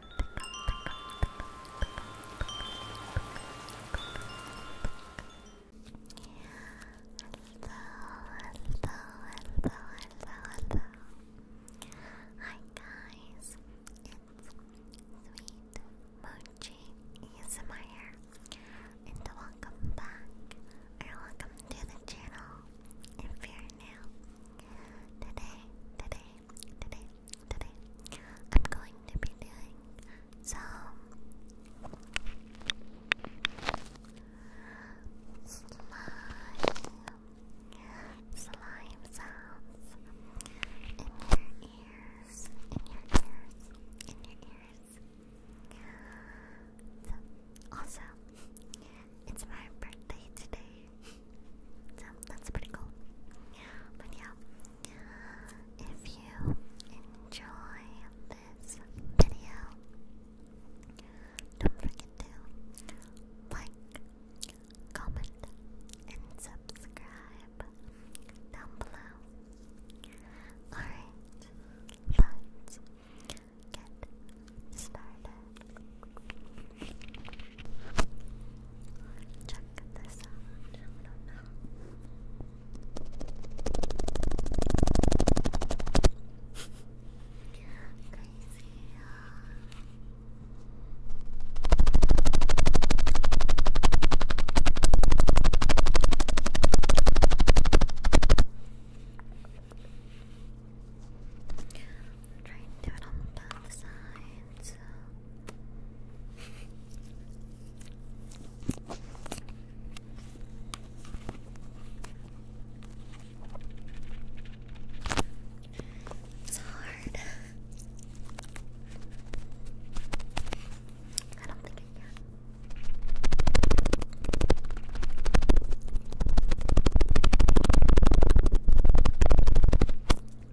hello, hello, Hi guys, it's Sweet Mochi ASMR and welcome back or welcome to the channel if you're new. Today, today, today, today, I'm going to be doing some slime, slime sounds in your ears, in your ears, in your ears. also, it's my birthday today, so that's pretty cool. But yeah, if you enjoy this video, don't forget to like, comment, and subscribe down below. Alright, let's get started. Check this out. I don't know. Crazy. I'm trying to do it on both sides. It's hard. I don't think I can.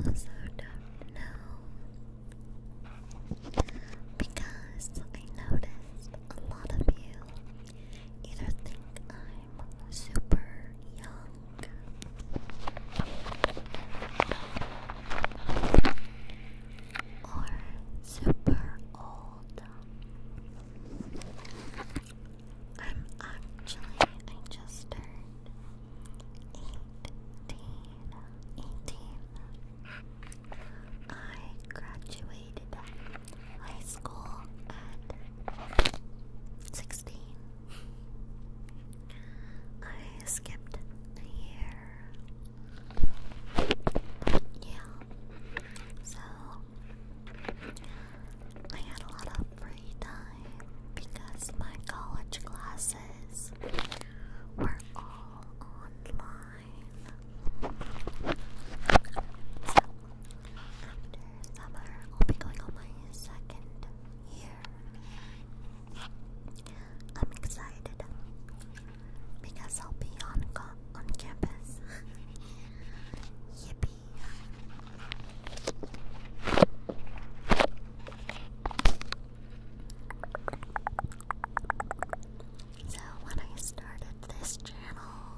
those who don't know, because I noticed a lot of you either think I'm super young or super old. I'm actually, just turned 18. 18. I graduated high school at 16. I skipped a year yeah. So I had a lot of free time because my college classes were all online. So after summer, I'll be going on my second year. I'm excited because I'll be on on campus. Yippee! So when I started this channel,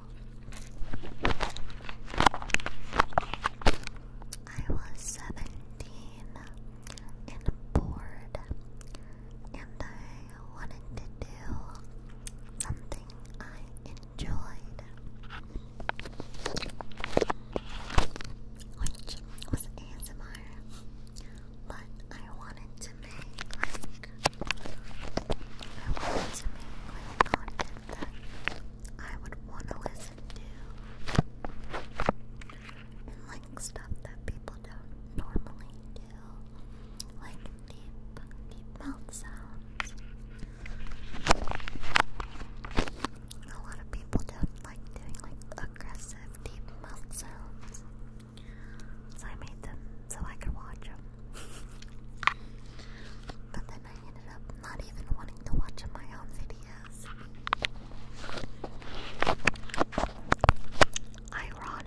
I was seventeen and bored and I wanted to do something I enjoyed, which was ASMR, but I wanted to make I wanted to make like that I would want to listen to stuff that people don't normally do, like deep, deep mouth sounds. A lot of people don't like doing like aggressive deep mouth sounds, so I made them so I could watch them. but then I ended up not even wanting to watch my own videos ironic.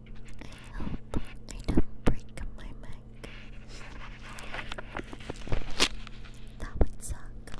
I hope I don't break my mic. That would suck.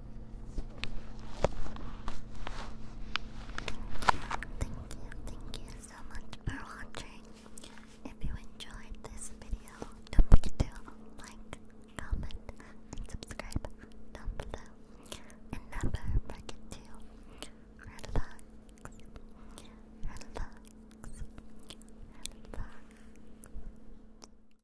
Thank you, thank you so much for watching. If you enjoyed this video, don't forget to like, comment, and subscribe down below. And never forget to relax, relax, relax.